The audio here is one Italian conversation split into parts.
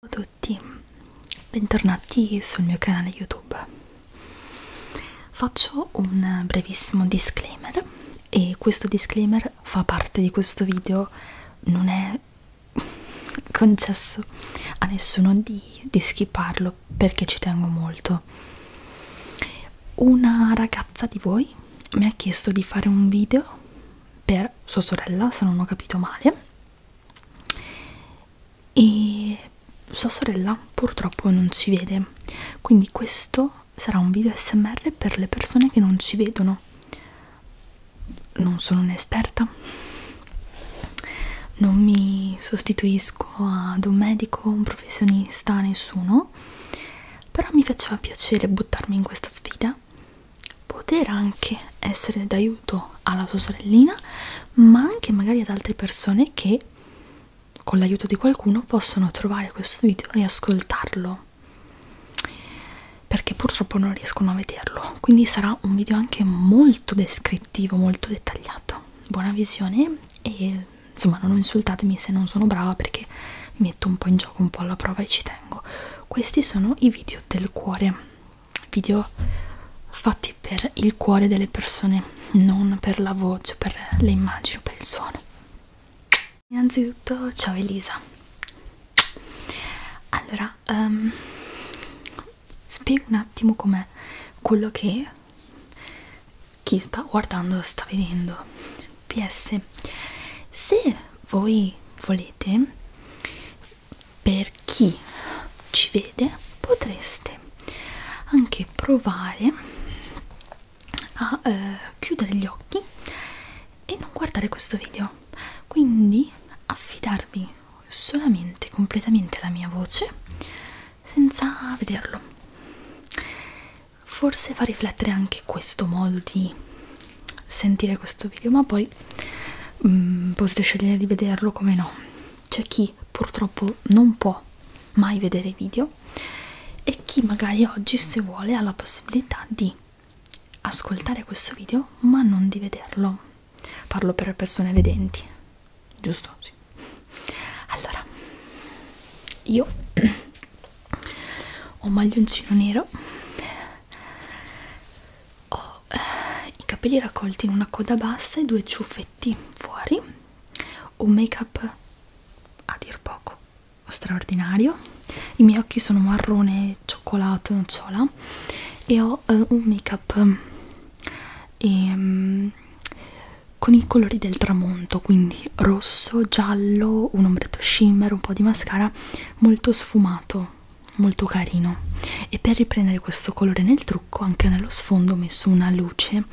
Ciao a tutti, bentornati sul mio canale YouTube. Faccio un brevissimo disclaimer e questo disclaimer fa parte di questo video, non è concesso a nessuno di, di skipparlo perché ci tengo molto. Una ragazza di voi mi ha chiesto di fare un video per sua sorella, se non ho capito male e sua sorella purtroppo non ci vede quindi questo sarà un video smr per le persone che non ci vedono non sono un'esperta non mi sostituisco ad un medico un professionista nessuno però mi faceva piacere buttarmi in questa sfida poter anche essere d'aiuto alla sua sorellina ma anche magari ad altre persone che con l'aiuto di qualcuno possono trovare questo video e ascoltarlo perché purtroppo non riescono a vederlo quindi sarà un video anche molto descrittivo molto dettagliato buona visione e insomma non insultatemi se non sono brava perché mi metto un po' in gioco un po' alla prova e ci tengo questi sono i video del cuore video fatti per il cuore delle persone, non per la voce, per le immagini o per il suono. Innanzitutto, ciao Elisa. Allora, um, spiego un attimo com'è quello che chi sta guardando sta vedendo. PS, se voi volete per chi ci vede potreste anche provare a eh, chiudere gli occhi e non guardare questo video quindi affidarvi solamente completamente alla mia voce senza vederlo forse fa riflettere anche questo modo di sentire questo video ma poi mh, mm, potete scegliere di vederlo come no c'è chi purtroppo non può mai vedere i video e chi magari oggi se vuole ha la possibilità di ascoltare questo video ma non di vederlo parlo per persone vedenti giusto? Sì. allora io ho un maglioncino nero ho eh, i capelli raccolti in una coda bassa e due ciuffetti fuori un make up a dir poco straordinario i miei occhi sono marrone cioccolato nocciola e ho eh, un make up ehm, con i colori del tramonto quindi rosso giallo un ombretto shimmer un po di mascara molto sfumato molto carino e per riprendere questo colore nel trucco anche nello sfondo ho messo una luce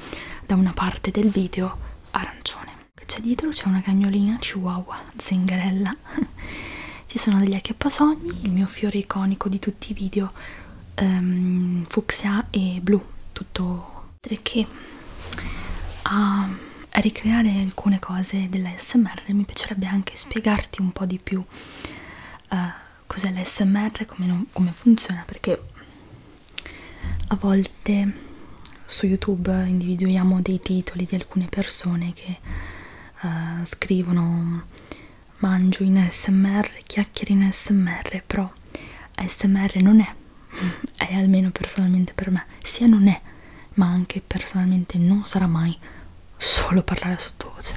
da una parte del video arancione c'è dietro c'è una cagnolina chihuahua zingarella ci sono degli acchiappasogni il mio fiore iconico di tutti i video um, fucsia e blu tutto che a ricreare alcune cose dell'ASMR l'ASMR mi piacerebbe anche spiegarti un po' di più uh, cos'è l'ASMR, come, non, come funziona, perché a volte su YouTube individuiamo dei titoli di alcune persone che uh, scrivono mangio in ASMR, chiacchiere in ASMR, però ASMR non è, è almeno personalmente per me, sia non è, ma anche personalmente non sarà mai solo parlare sottovoce.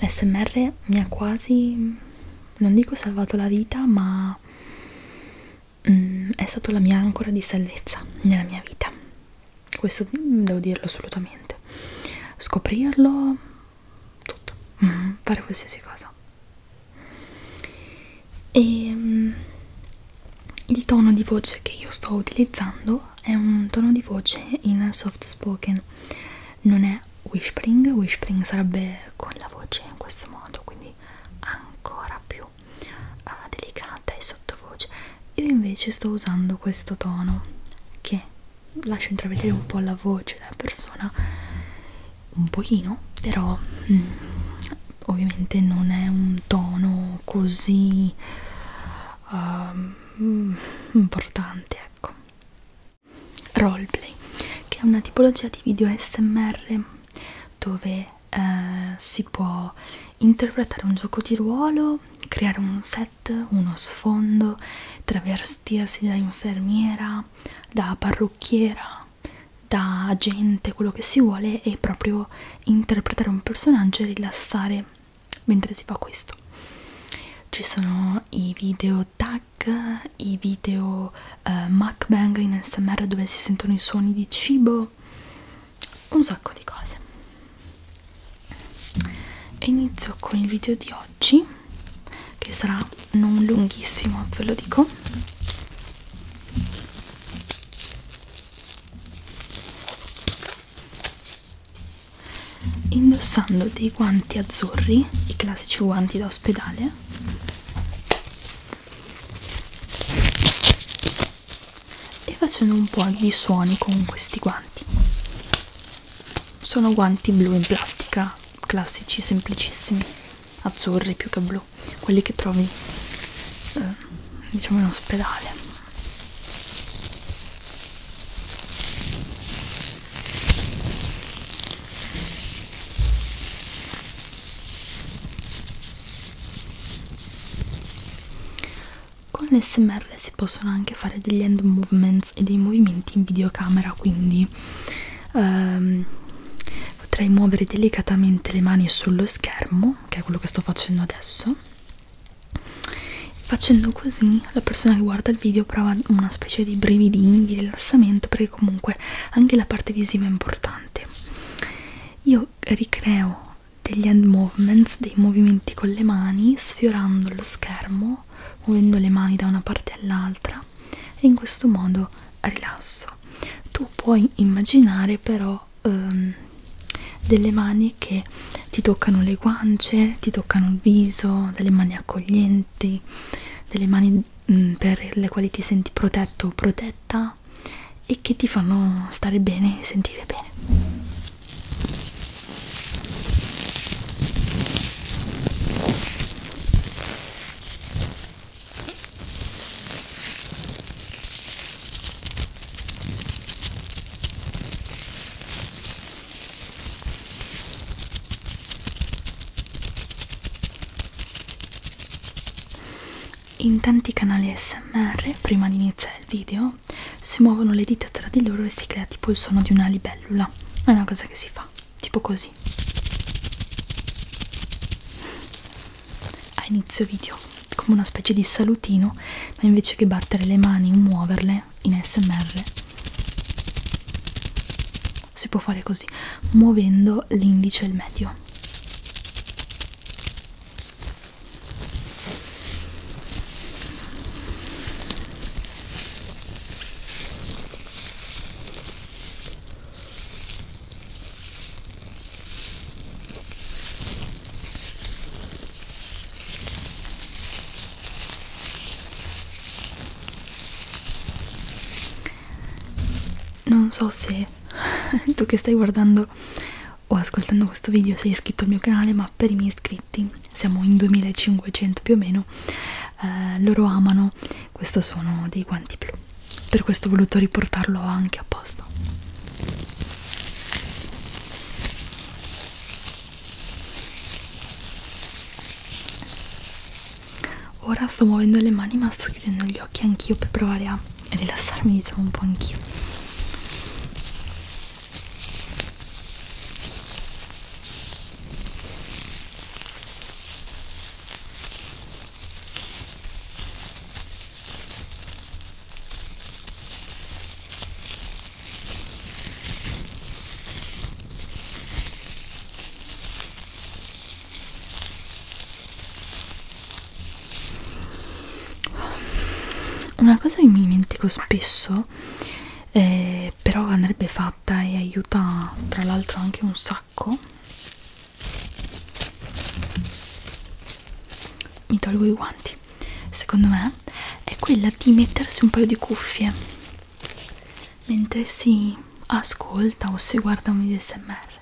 L'SMR mi ha quasi, non dico salvato la vita, ma mm, è stata la mia ancora di salvezza nella mia vita. Questo devo dirlo assolutamente. Scoprirlo, tutto, mm, fare qualsiasi cosa. E ehm, il tono di voce che io sto utilizzando è un tono di voce in soft spoken non è whispering whispering sarebbe con la voce in questo modo quindi ancora più uh, delicata e sottovoce io invece sto usando questo tono che lascia intravedere un po' la voce della persona un pochino però mm, ovviamente non è un tono così um, ehm, mm, importanti ecco roleplay che è una tipologia di video smr dove eh, si può interpretare un gioco di ruolo creare un set uno sfondo travestirsi da infermiera da parrucchiera da agente quello che si vuole e proprio interpretare un personaggio e rilassare mentre si fa questo ci sono i video tag i video uh, mukbang in smr dove si sentono i suoni di cibo un sacco di cose inizio con il video di oggi che sarà non lunghissimo ve lo dico indossando dei guanti azzurri, i classici guanti da ospedale, e facendo un po' di suoni con questi guanti. Sono guanti blu in plastica, classici, semplicissimi, azzurri più che blu, quelli che trovi eh, diciamo in ospedale con l'SMR si possono anche fare degli hand movements e dei movimenti in videocamera quindi ehm, potrei muovere delicatamente le mani sullo schermo che è quello che sto facendo adesso Facendo così la persona che guarda il video prova una specie di brividini, di rilassamento perché comunque anche la parte visiva è importante. Io ricreo degli hand movements, dei movimenti con le mani, sfiorando lo schermo, muovendo le mani da una parte all'altra e in questo modo rilasso. Tu puoi immaginare però um, delle mani che ti toccano le guance, ti toccano il viso, delle mani accoglienti, delle mani mh, mm, per le quali ti senti protetto o protetta e che ti fanno stare bene e sentire bene. In tanti canali SMR, prima di iniziare il video, si muovono le dita tra di loro e si crea tipo il suono di una libellula. È una cosa che si fa, tipo così a inizio video come una specie di salutino ma invece che battere le mani o muoverle in smr si può fare così muovendo l'indice e il medio non so se tu che stai guardando o ascoltando questo video sei iscritto al mio canale, ma per i miei iscritti, siamo in 2500 più o meno, eh, loro amano questo suono dei guanti blu. Per questo ho voluto riportarlo anche apposta. Ora sto muovendo le mani ma sto chiudendo gli occhi anch'io per provare a rilassarmi diciamo un po' anch'io una cosa che mi dimentico spesso, eh, però andrebbe fatta e aiuta tra l'altro anche un sacco, mi tolgo i guanti secondo me è quella di mettersi un paio di cuffie mentre si ascolta o si guarda un video smr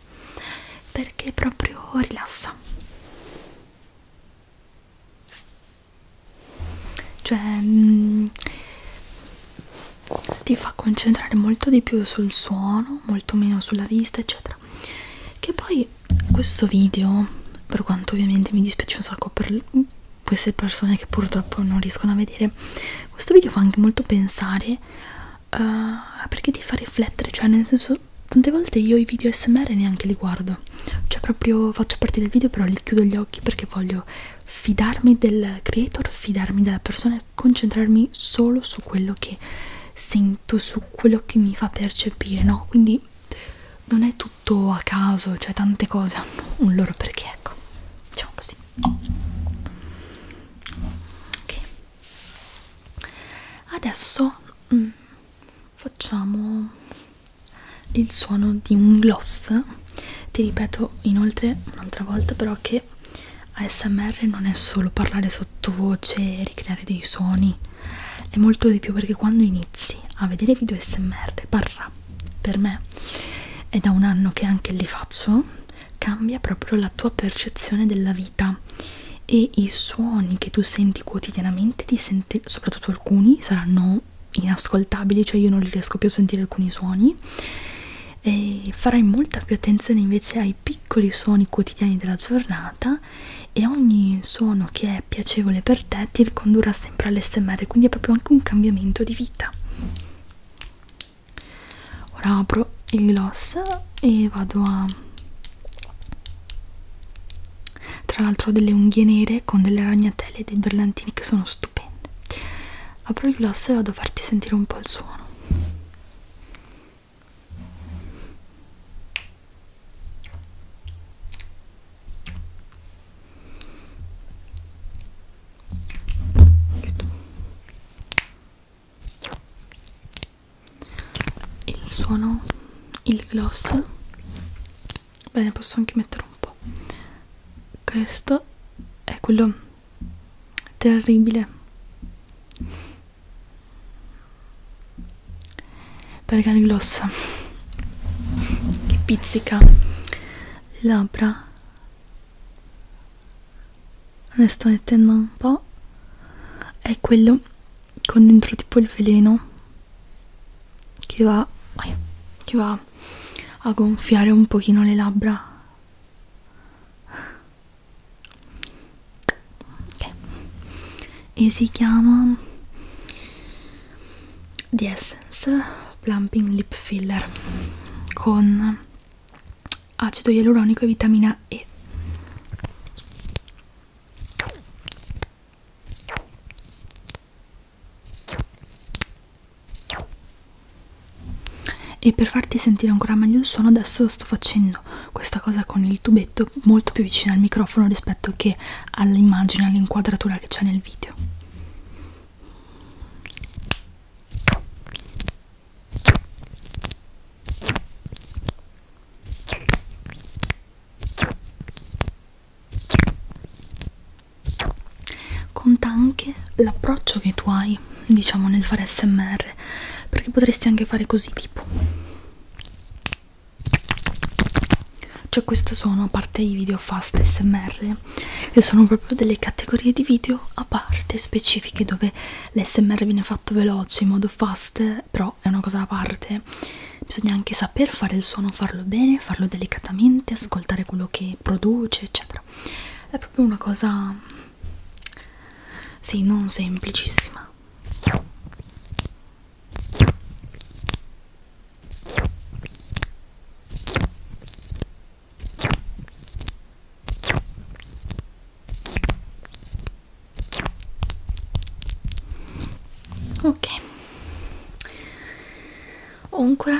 perché proprio rilassa cioè mh, mm, ti fa concentrare molto di più sul suono molto meno sulla vista eccetera che poi questo video, per quanto ovviamente mi dispiace un sacco per queste persone che purtroppo non riescono a vedere, questo video fa anche molto pensare uh, perché ti fa riflettere, cioè nel senso tante volte io i video smr neanche li guardo, cioè proprio faccio partire il video però li chiudo gli occhi perché voglio fidarmi del creator, fidarmi della persona e concentrarmi solo su quello che sento su quello che mi fa percepire, no? Quindi non è tutto a caso, cioè tante cose hanno un loro perché, ecco, diciamo così. Ok. Adesso mm, facciamo il suono di un gloss. Ti ripeto inoltre un'altra volta però che ASMR non è solo parlare su sottovoce, ricreare dei suoni è molto di più perché quando inizi a vedere video smr barra per me è da un anno che anche li faccio cambia proprio la tua percezione della vita e i suoni che tu senti quotidianamente ti senti soprattutto alcuni saranno inascoltabili cioè io non riesco più a sentire alcuni suoni e farai molta più attenzione invece ai piccoli suoni quotidiani della giornata giornata e ogni suono che è piacevole per te ti ricondurrà sempre all'SMR, quindi è proprio anche un cambiamento di vita. Ora apro il gloss e vado a tra l'altro ho delle unghie nere con delle ragnatele e dei brillantini che sono stupende apro il gloss e vado a farti sentire un po' il suono Chiudo. il suono il gloss bene posso anche mettere un po' questo è quello terribile perché il gloss che pizzica le labbra le sta mettendo un po' è quello con dentro tipo il veleno che va, che va a gonfiare un pochino le labbra ok e si chiama The Essence Plumping Lip Filler con acido ialuronico e vitamina E e per farti sentire ancora meglio il suono adesso sto facendo questa cosa con il tubetto molto più vicino al microfono rispetto che all'immagine, all'inquadratura che c'è nel video conta anche l'approccio che tu hai diciamo nel fare smr perché potresti anche fare così tipo cioè questo sono a parte i video fast smr che sono proprio delle categorie di video a parte specifiche dove l'smr viene fatto veloce in modo fast però è una cosa a parte bisogna anche saper fare il suono farlo bene farlo delicatamente ascoltare quello che produce eccetera è proprio una cosa sì non semplicissima ok ho ancora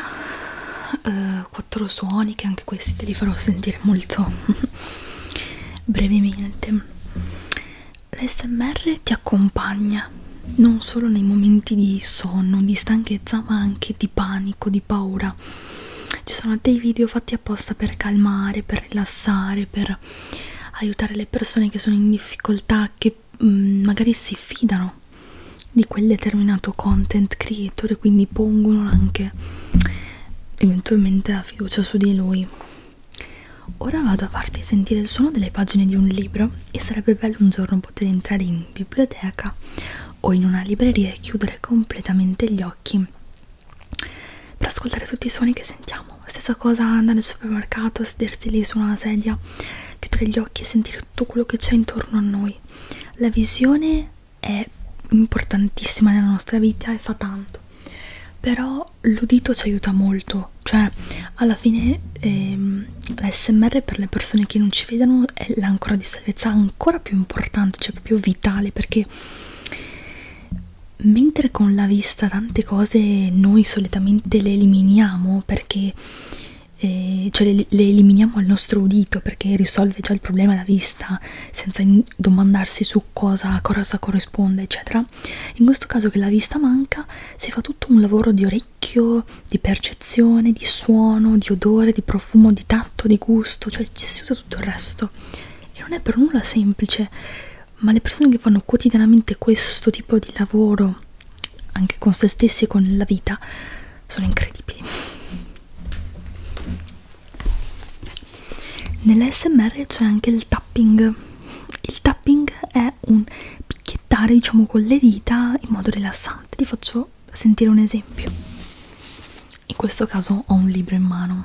eh, quattro suoni che anche questi te li farò sentire molto brevemente l'SMR ti accompagna non solo nei momenti di sonno, di stanchezza ma anche di panico, di paura ci sono dei video fatti apposta per calmare, per rilassare, per aiutare le persone che sono in difficoltà, che mh, mm, magari si fidano di quel determinato content creator e quindi pongono anche eventualmente fiducia su di lui. Ora vado a farti sentire il suono delle pagine di un libro e sarebbe bello un giorno poter entrare in biblioteca o in una libreria e chiudere completamente gli occhi per ascoltare tutti i suoni che sentiamo. Stessa cosa andare al supermercato, sedersi lì su una sedia, chiudere gli occhi e sentire tutto quello che c'è intorno a noi. La visione è importantissima nella nostra vita e fa tanto però l'udito ci aiuta molto cioè alla fine ehm, l'ASMR per le persone che non ci vedono è l'ancora di salvezza ancora più importante cioè proprio vitale perché mentre con la vista tante cose noi solitamente le eliminiamo perché eh, cioè le, le eliminiamo al nostro udito perché risolve già il problema la vista senza in, domandarsi su cosa, cosa corrisponde eccetera in questo caso che la vista manca si fa tutto un lavoro di orecchio di percezione di suono di odore di profumo di tatto di gusto cioè ci si usa tutto il resto e non è per nulla semplice ma le persone che fanno quotidianamente questo tipo di lavoro anche con se stessi e con la vita sono incredibili Nell'SMR c'è anche il tapping. Il tapping è un picchiettare, diciamo, con le dita in modo rilassante. Ti faccio sentire un esempio. In questo caso ho un libro in mano.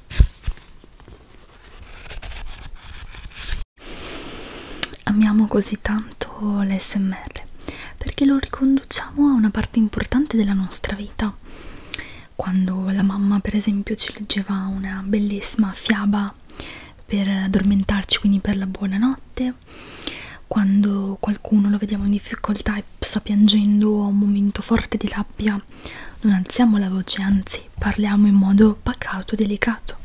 Amiamo così tanto l'SMR perché lo riconduciamo a una parte importante della nostra vita. Quando la mamma, per esempio, ci leggeva una bellissima fiaba per addormentarci, quindi per la buonanotte, quando qualcuno lo vediamo in difficoltà e sta piangendo o ha un momento forte di rabbia, non alziamo la voce, anzi parliamo in modo pacato e delicato.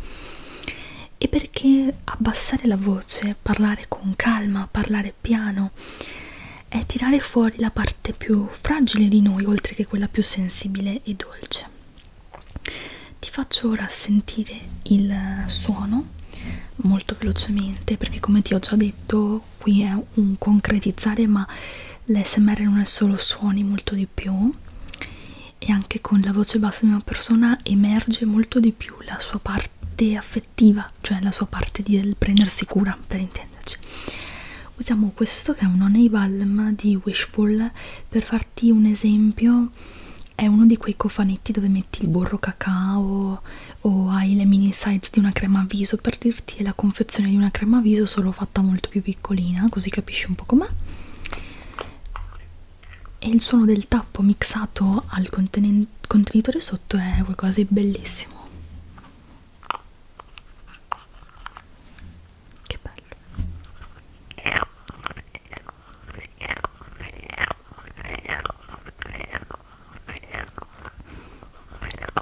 E perché abbassare la voce, parlare con calma, parlare piano, è tirare fuori la parte più fragile di noi, oltre che quella più sensibile e dolce. Ti faccio ora sentire il suono molto velocemente perché come ti ho già detto qui è un concretizzare ma l'SMR non è solo suoni molto di più e anche con la voce bassa di una persona emerge molto di più la sua parte affettiva cioè la sua parte del prendersi cura per intenderci usiamo questo che è un Honey Balm di Wishful per farti un esempio è uno di quei cofanetti dove metti il burro cacao o hai le mini size di una crema a viso per dirti è la confezione di una crema a viso solo fatta molto più piccolina così capisci un po' com'è e il suono del tappo mixato al conten contenitore sotto è qualcosa di bellissimo che bello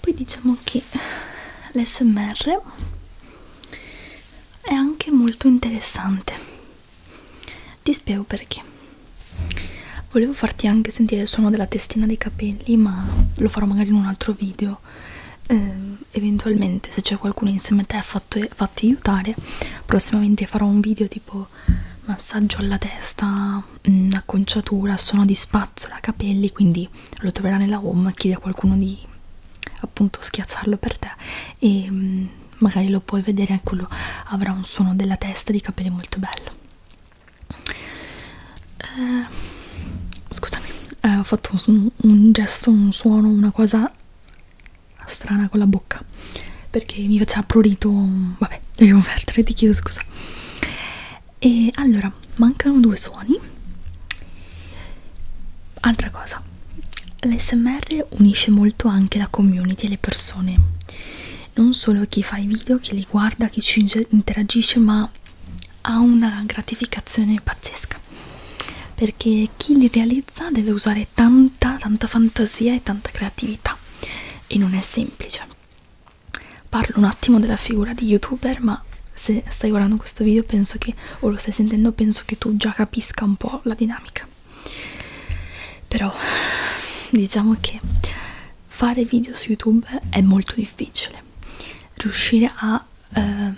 poi diciamo che l'SMR è anche molto interessante ti spiego perché volevo farti anche sentire il suono della testina dei capelli ma lo farò magari in un altro video eh, eventualmente se c'è qualcuno insieme a te fatti fatto aiutare prossimamente farò un video tipo massaggio alla testa mm, acconciatura suono di spalla mazzola capelli quindi lo troverà nella home chiedi a qualcuno di appunto schiacciarlo per te e mh, mm, magari lo puoi vedere anche ecco, lui avrà un suono della testa di capelli molto bello eh, scusami eh, ho fatto un, un gesto un suono una cosa strana con la bocca perché mi faceva prurito vabbè devo perdere ti chiedo scusa e allora mancano due suoni altra cosa l'SMR unisce molto anche la community e le persone non solo chi fa i video chi li guarda chi ci interagisce ma ha una gratificazione pazzesca perché chi li realizza deve usare tanta tanta fantasia e tanta creatività e non è semplice parlo un attimo della figura di youtuber ma se stai guardando questo video penso che o lo stai sentendo penso che tu già capisca un po' la dinamica però diciamo che fare video su youtube è molto difficile riuscire a, eh, a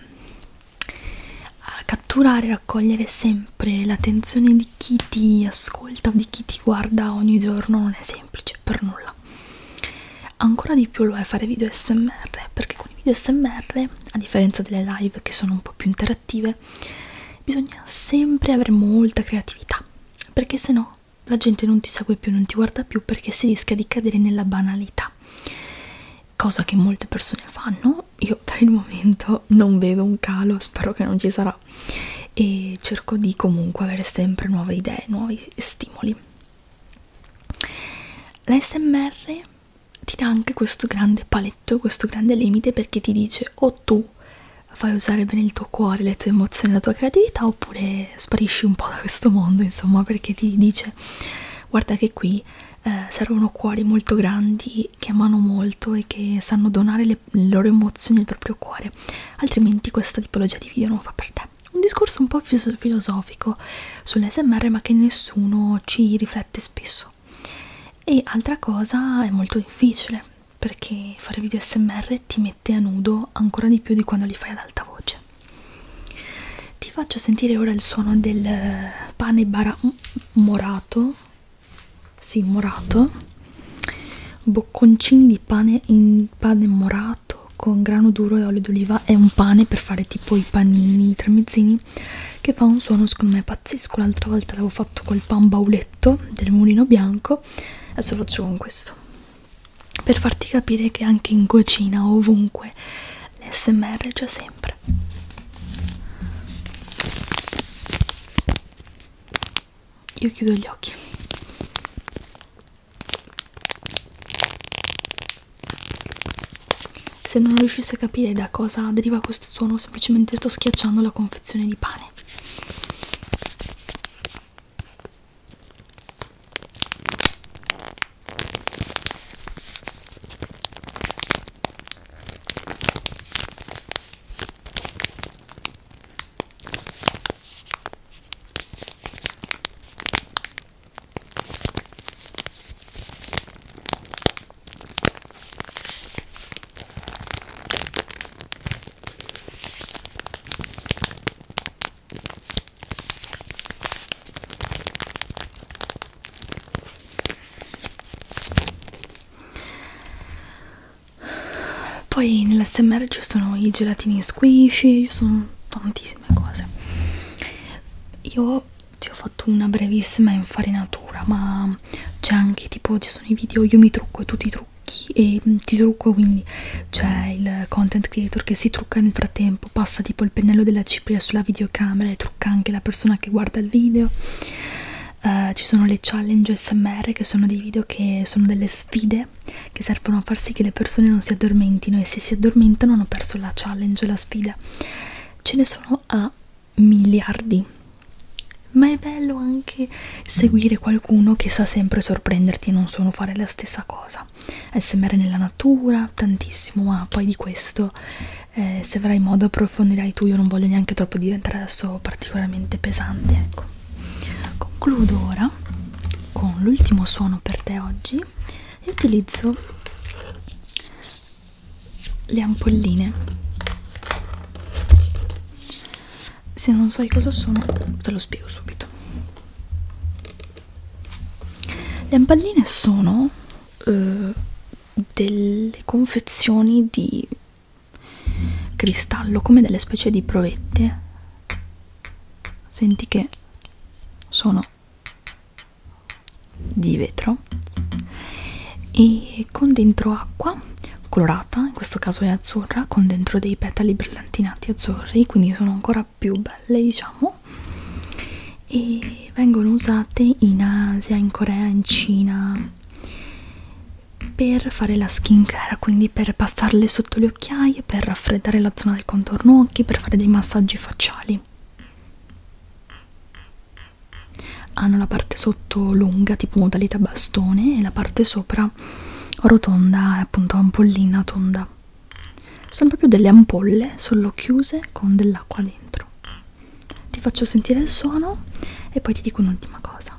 catturare raccogliere sempre l'attenzione di chi ti ascolta o di chi ti guarda ogni giorno non è semplice per nulla nulla ancora di più lo è fare video smr perché con i video smr a differenza delle live che sono un po' più interattive bisogna sempre avere molta creatività perché se no la gente non ti segue più non ti guarda più perché si rischia di cadere nella banalità cosa che molte persone fanno io per il momento non vedo un calo spero che non ci sarà e cerco di comunque avere sempre nuove idee nuovi stimoli L'ASMR ti dà anche questo grande paletto, questo grande limite perché ti dice o tu fai usare bene il tuo cuore, le tue emozioni, la tua creatività oppure sparisci un po' da questo mondo insomma perché ti dice guarda che qui eh, servono cuori molto grandi che amano molto e che sanno donare le, le loro emozioni al proprio cuore altrimenti questa tipologia di video non fa per te Vabbè, un discorso un po' filosofico sull'SMR ma che nessuno ci riflette spesso. E altra cosa è molto difficile perché fare video SMR ti mette a nudo ancora di più di quando li fai ad alta voce. Ti faccio sentire ora il suono del pane bara morato, sì morato, bocconcini di pane in pane morato bagnato con grano duro e olio d'oliva e un pane per fare tipo i panini, i tramezzini che fa un suono secondo me pazzesco l'altra volta l'avevo fatto col pan bauletto del mulino bianco adesso lo faccio con questo per farti capire che anche in cucina ovunque l'SMR c'è sempre io chiudo gli occhi se non riuscisse a capire da cosa deriva questo suono, semplicemente sto schiacciando la confezione di pane. Poi nell'SMR ci sono i gelatini squishy, ci sono tanti tantissime cose io ti ho fatto una brevissima infarinatura ma c'è anche tipo ci sono i video io mi trucco e tu ti trucchi e mm, ti trucco quindi c'è il content creator che si trucca nel frattempo passa tipo il pennello della cipria sulla videocamera e trucca anche la persona che guarda il video uh, ci sono le challenge smr che sono dei video che sono delle sfide ore che servono a far sì che le persone non si addormentino e se si addormentano hanno perso la challenge e la sfida ce ne sono a miliardi ma è bello anche seguire qualcuno che sa sempre sorprenderti e non solo fare la stessa cosa smr nella natura tantissimo ma poi di questo eh, se avrai modo approfondirai tu io non voglio neanche troppo diventare adesso particolarmente pesante ecco concludo ora con l'ultimo suono per te oggi e utilizzo le ampolline se non sai cosa sono te lo spiego subito le ampolline sono eh, delle confezioni di cristallo come delle specie di provette senti che sono di vetro e con dentro acqua colorata, in questo caso è azzurra, con dentro dei petali brillantinati azzurri, quindi sono ancora più belle diciamo e vengono usate in Asia, in Corea, in Cina per fare la skin care, quindi per passarle sotto le occhiaie, per raffreddare la zona al contorno occhi per fare dei massaggi facciali hanno la parte sotto lunga tipo modalità bastone e la parte sopra rotonda appunto ampollina tonda sono proprio delle ampolle solo chiuse con dell'acqua dentro ti faccio sentire il suono e poi ti dico un'ultima cosa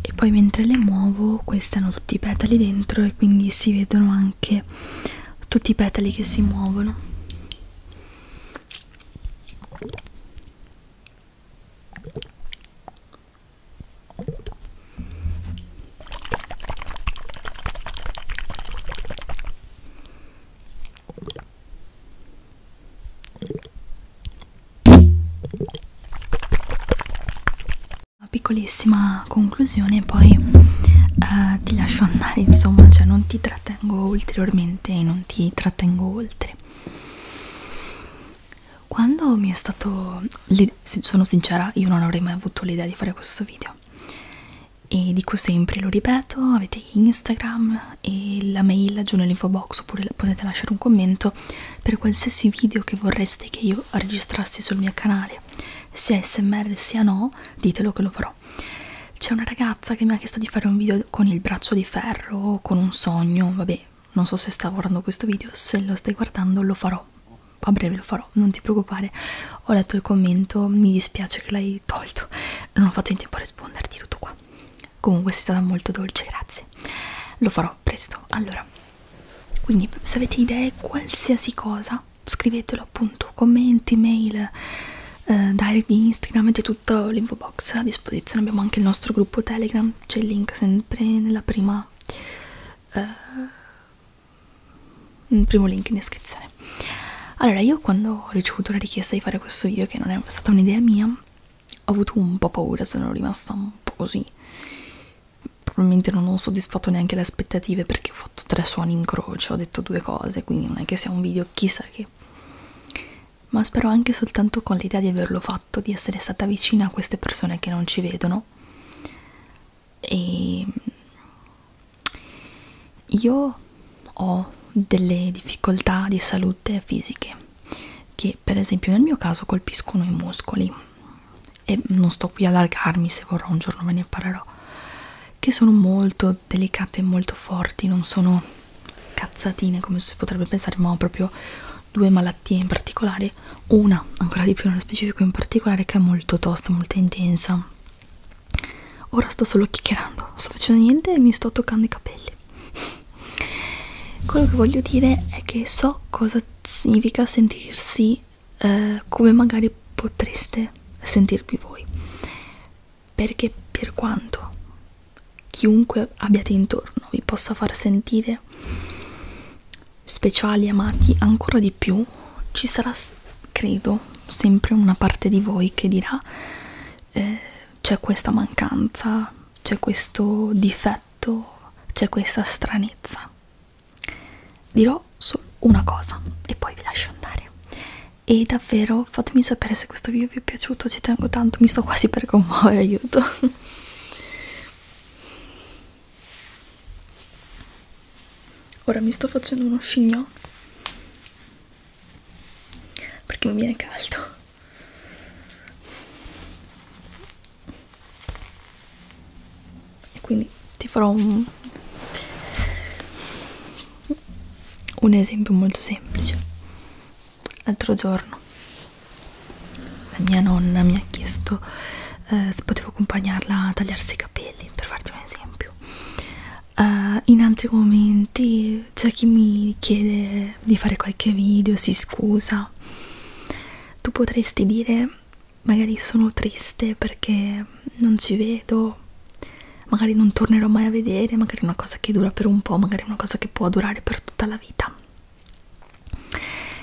e poi mentre le muovo questi hanno tutti i petali dentro e quindi si vedono anche tutti i petali che si muovono una piccolissima conclusione poi eh, ti lascio andare insomma cioè non ti trattengo ulteriormente e non ti trattengo oltre quando mi è stato le, io sono sincera, io non avrei mai avuto l'idea di fare questo video. E dico sempre, lo ripeto, avete Instagram e la mail giù nell'info box oppure potete lasciare un commento per qualsiasi video che vorreste che io registrassi sul mio canale, sia smr sia no, ditelo che lo farò. C'è una ragazza che mi ha chiesto di fare un video con il braccio di ferro, con un sogno, vabbè, non so se sta guardando questo video, se lo stai guardando lo farò a breve lo farò, non ti preoccupare. Ho letto il commento, mi dispiace che l'hai tolto, non ho fatto in tempo a risponderti tutto qua. Comunque sei stata molto dolce, grazie. Lo farò presto. Allora, quindi se avete idee, qualsiasi cosa, scrivetelo appunto, commenti, mail, eh, direct di Instagram, avete tutto l'info box a disposizione. Abbiamo anche il nostro gruppo Telegram, c'è il link sempre nella prima... Eh, il primo link in descrizione allora io quando ho ricevuto la richiesta di fare questo video che non è stata un'idea mia ho avuto un po' paura sono rimasta un po' così probabilmente non ho soddisfatto neanche le aspettative perché ho fatto tre suoni in croce ho detto due cose quindi non è che sia un video chissà che ma spero anche soltanto con l'idea di averlo fatto di essere stata vicina a queste persone che non ci vedono e io ho delle difficoltà di salute fisiche che per esempio nel mio caso colpiscono i muscoli e non sto qui ad allargarmi se vorrò un giorno ve ne parlerò che sono molto delicate e molto forti non sono cazzatine come si potrebbe pensare ma ho proprio due malattie in particolare una ancora di più nello specifico in particolare che è molto tosta, molto intensa ora sto solo chiacchierando non sto facendo niente e mi sto toccando i capelli quello che voglio dire è che so cosa significa sentirsi eh, come magari potreste sentirvi voi perché per quanto chiunque abbiate intorno vi possa far sentire speciali amati ancora di più ci sarà credo sempre una parte di voi che dirà eh, c'è questa mancanza c'è questo difetto c'è questa stranezza dirò solo una cosa e poi vi lascio andare e davvero fatemi sapere se questo video vi è piaciuto ci tengo tanto mi sto quasi per commuovere aiuto Ora mi sto facendo uno scignò perché mi viene caldo. E quindi ti farò un, un esempio molto semplice. L'altro giorno la mia nonna mi ha chiesto eh, se potevo accompagnarla a tagliarsi i capelli per farti un esempio uh, in altri momenti c'è chi mi chiede di fare qualche video si scusa tu potresti dire magari sono triste perché non ci vedo magari non tornerò mai a vedere magari una cosa che dura per un po' magari una cosa che può durare per tutta la vita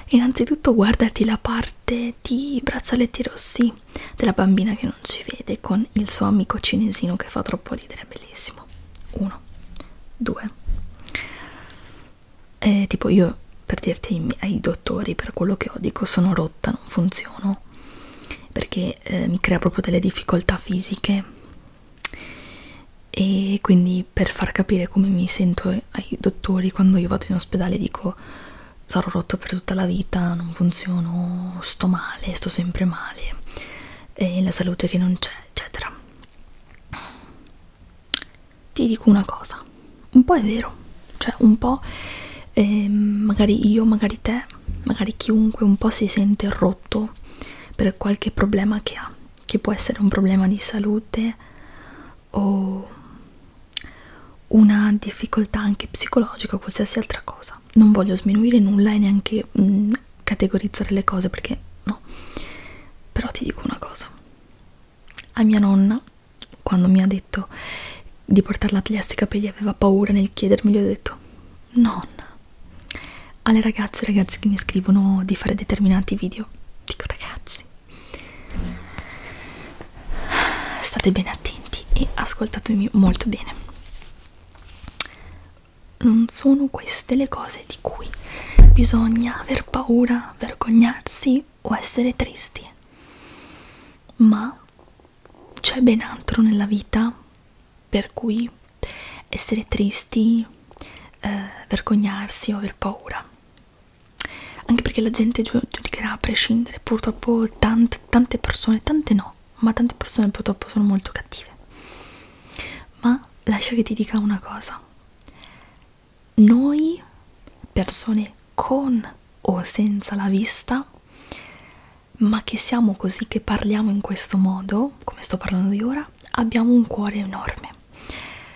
Innanzitutto guardati la parte di Braccialetti Rossi della bambina che non ci vede con il suo amico cinesino che fa troppo ridere, è bellissimo. 1. 2. Eh, tipo io per dirti ai, ai dottori per quello che ho dico sono rotta, non funziono perché eh, mi crea proprio delle difficoltà fisiche e quindi per far capire come mi sento ai dottori quando io vado in ospedale dico sarò rotto per tutta la vita, non funziono, sto male, sto sempre male, e la salute che non c'è, eccetera. Ti dico una cosa, un po' è vero, cioè un po' eh, magari io, magari te, magari chiunque un po' si sente rotto per qualche problema che ha, che può essere un problema di salute o una difficoltà anche psicologica o qualsiasi altra cosa. Non voglio sminuire nulla e neanche mh, mm, categorizzare le cose perché no. Però ti dico una cosa. A mia nonna, quando mi ha detto di portarla a tagliarsi i capelli, aveva paura nel chiedermi, gli ho detto nonna. Alle ragazze e ragazzi che mi scrivono di fare determinati video, dico ragazzi, state bene attenti e ascoltatemi molto bene non sono queste le cose di cui bisogna aver paura vergognarsi o essere tristi ma c'è ben altro nella vita per cui essere tristi, eh, vergognarsi o aver paura anche perché la gente giu giudicherà a prescindere purtroppo tante, tante persone tante no ma tante persone purtroppo sono molto cattive ma lascia che ti dica una cosa noi persone con o senza la vista ma che siamo così che parliamo in questo modo come sto parlando di ora abbiamo un cuore enorme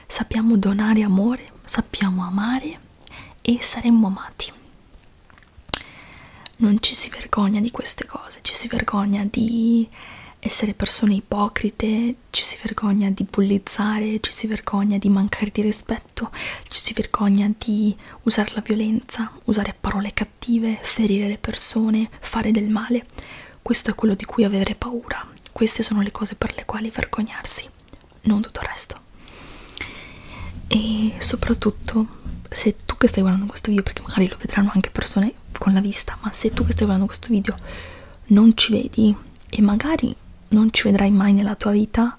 sappiamo donare amore, sappiamo amare e saremmo amati. Non ci si vergogna di queste cose, ci si vergogna di essere persone ipocrite, ci si vergogna di bullizzare, ci si vergogna di mancare di rispetto, ci si vergogna di usare la violenza, usare parole cattive, ferire le persone, fare del male. Questo è quello di cui avere paura. Queste sono le cose per le quali vergognarsi, non tutto il resto. E soprattutto, se tu che stai guardando questo video, perché magari lo vedranno anche persone con la vista, ma se tu che stai guardando questo video non ci vedi e magari non ci vedrai mai nella tua vita,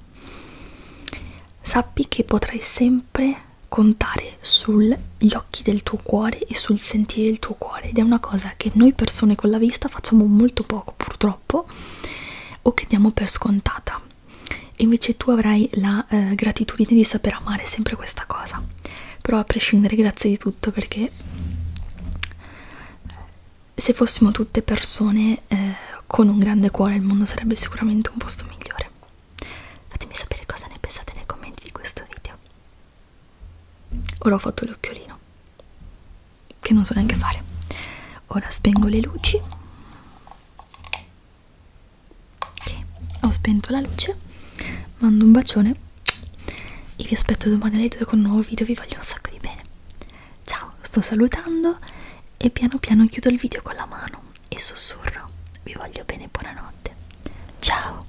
sappi che potrai sempre contare sugli occhi del tuo cuore e sul sentire del tuo cuore ed è una cosa che noi persone con la vista facciamo molto poco poco purtroppo o che diamo per scontata e invece tu avrai la eh, gratitudine di saper amare sempre questa cosa però a prescindere grazie di tutto perché se fossimo tutte persone eh, con un grande cuore il mondo sarebbe sicuramente un posto migliore fatemi sapere cosa ne pensate nei commenti di questo video Ora ho fatto l'occhiolino, che non so neanche fare. Ora spengo le luci. Ok, ho spento la luce. Mando un bacione e vi aspetto domani alle 2 con un nuovo video. Vi voglio un sacco di bene. Ciao, sto salutando e piano piano chiudo il video con la mano e sussurro. Vi voglio bene, buonanotte. Ciao.